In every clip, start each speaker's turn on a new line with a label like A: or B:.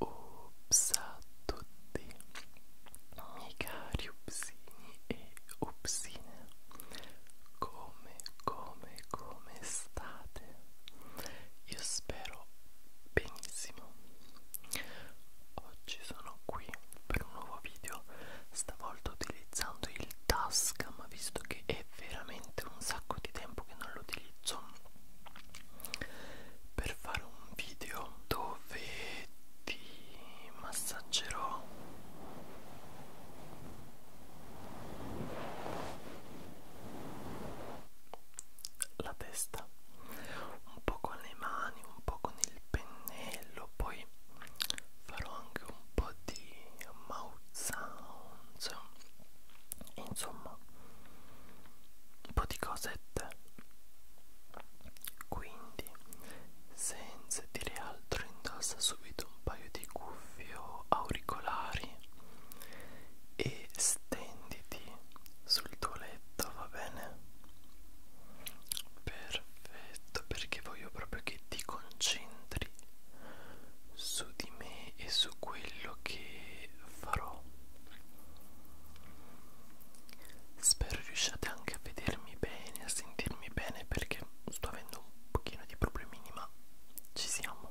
A: Ups a tutti i cari upsini e upsine Come, come, come state? Io spero benissimo oggi sono qui per un nuovo video stavolta utilizzando il Tascam visto che è veramente un sacco di tempo che non lo utilizzo per fare un video dove ti massaggerò la testa un po' con le mani, un po' con il pennello, poi poi farò anche un po' di mouth sounds insomma un po' di cosette quindi senza dire altro indossa subito un paio di cuffie o auricolari e stenditi sul tuo letto va bene Perfetto, perché voglio proprio che ti concentri su di me e su quello che farò. Spero riusciate anche a vedermi bene, a sentirmi bene perché sto avendo un pochino di problemini, ma ci siamo.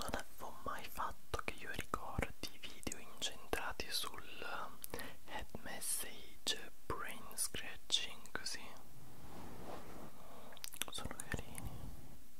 A: Non avevo mai fatto che io ricordi video incentrati sul eh, head message, brain scratching così. Sono carini.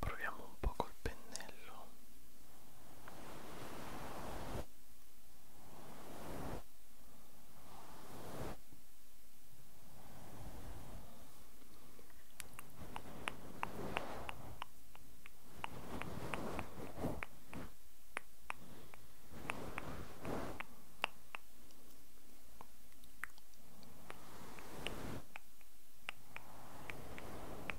A: proviamo un po' col pennello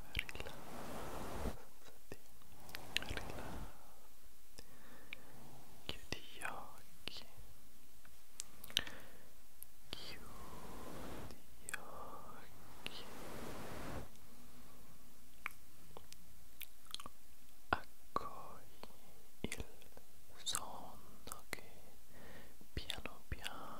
A: rilassati, rilassati, chiudi gli occhi, chiudi gli occhi, accogli il sonno che piano piano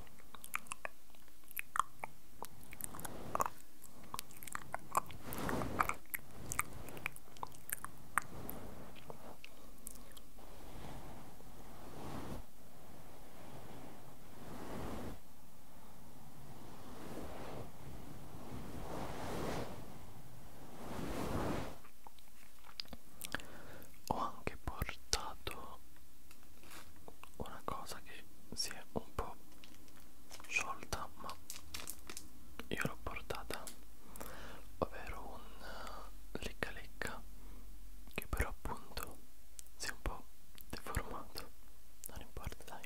A: Ho anche portato una cosa che si è un po' sciolta ma io l'ho portata ovvero un eh, lecca lecca che però appunto si è un po' deformato non importa dai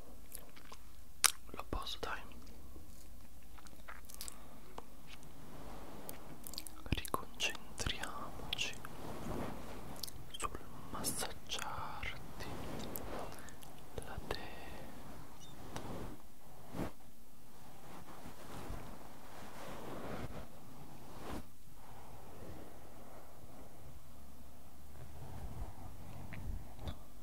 A: Lo posso dai riconcentriamoci sul massaggiarti la testa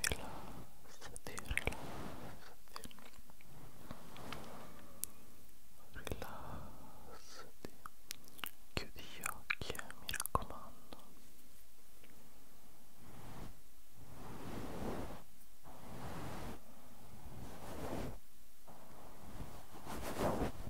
A: rilassati, rilassati, chiudi gli occhi eh, mi raccomando Rilassati,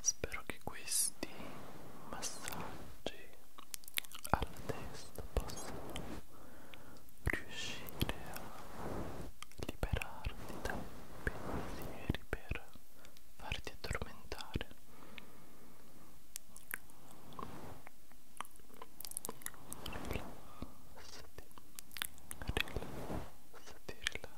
A: Spero che questi massaggi alla testa possano riuscire a liberarti dai pensieri per farti addormentare. Rilassati, rilassati, rilassati.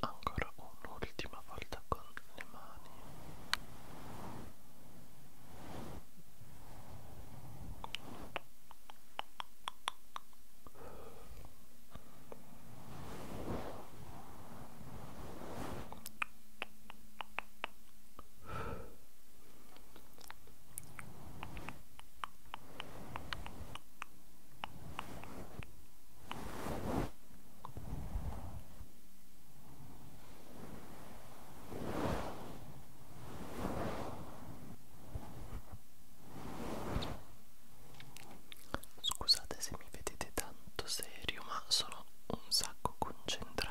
A: ancora un'ultima volta con le mani Scusate se mi vedete tanto serio, ma sono un sacco concentrato.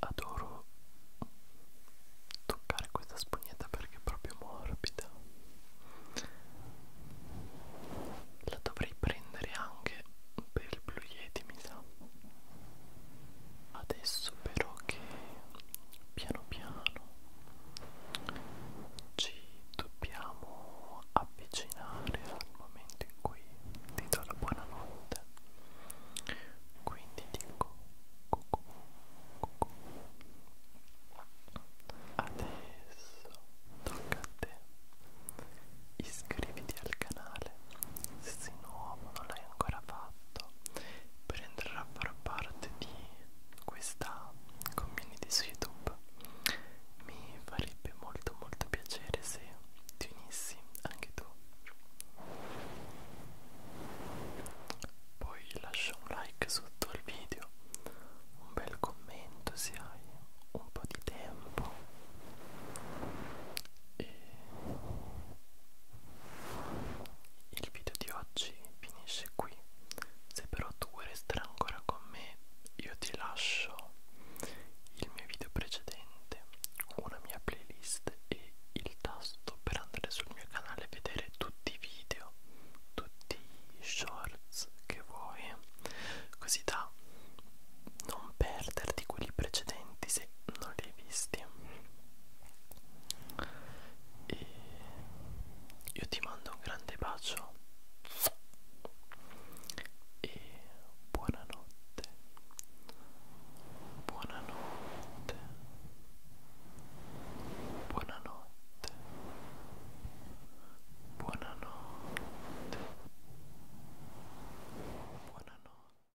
A: Adoro toccare questa spugnetta perché è proprio morbida. La dovrei prendere anche per il Blue Yeti, mi sa. Adesso però che piano piano ci dobbiamo avvicinare al momento in cui ti do la buonanotte quindi dico cucù, cucù. adesso tocca a te iscriviti al canale se sei nuovo non l'hai ancora fatto per entrare a far far parte di questa community su YouTube mi farebbe molto molto piacere se ti unissi anche tu poi lascia un like sotto al video un bel commento se hai un po' di tempo e il video di oggi finisce qui. Se però tu vuoi restare ancora con me, io ti lascio il mio video precedente, una mia playlist e il tasto per andare sul mio canale e vedere tutti i video, tutti i shorts che vuoi, così da non perderti quelli precedenti se se non li hai visti e io ti mando un grande bacio e buonanotte buonanotte buonanotte buonanotte buonanotte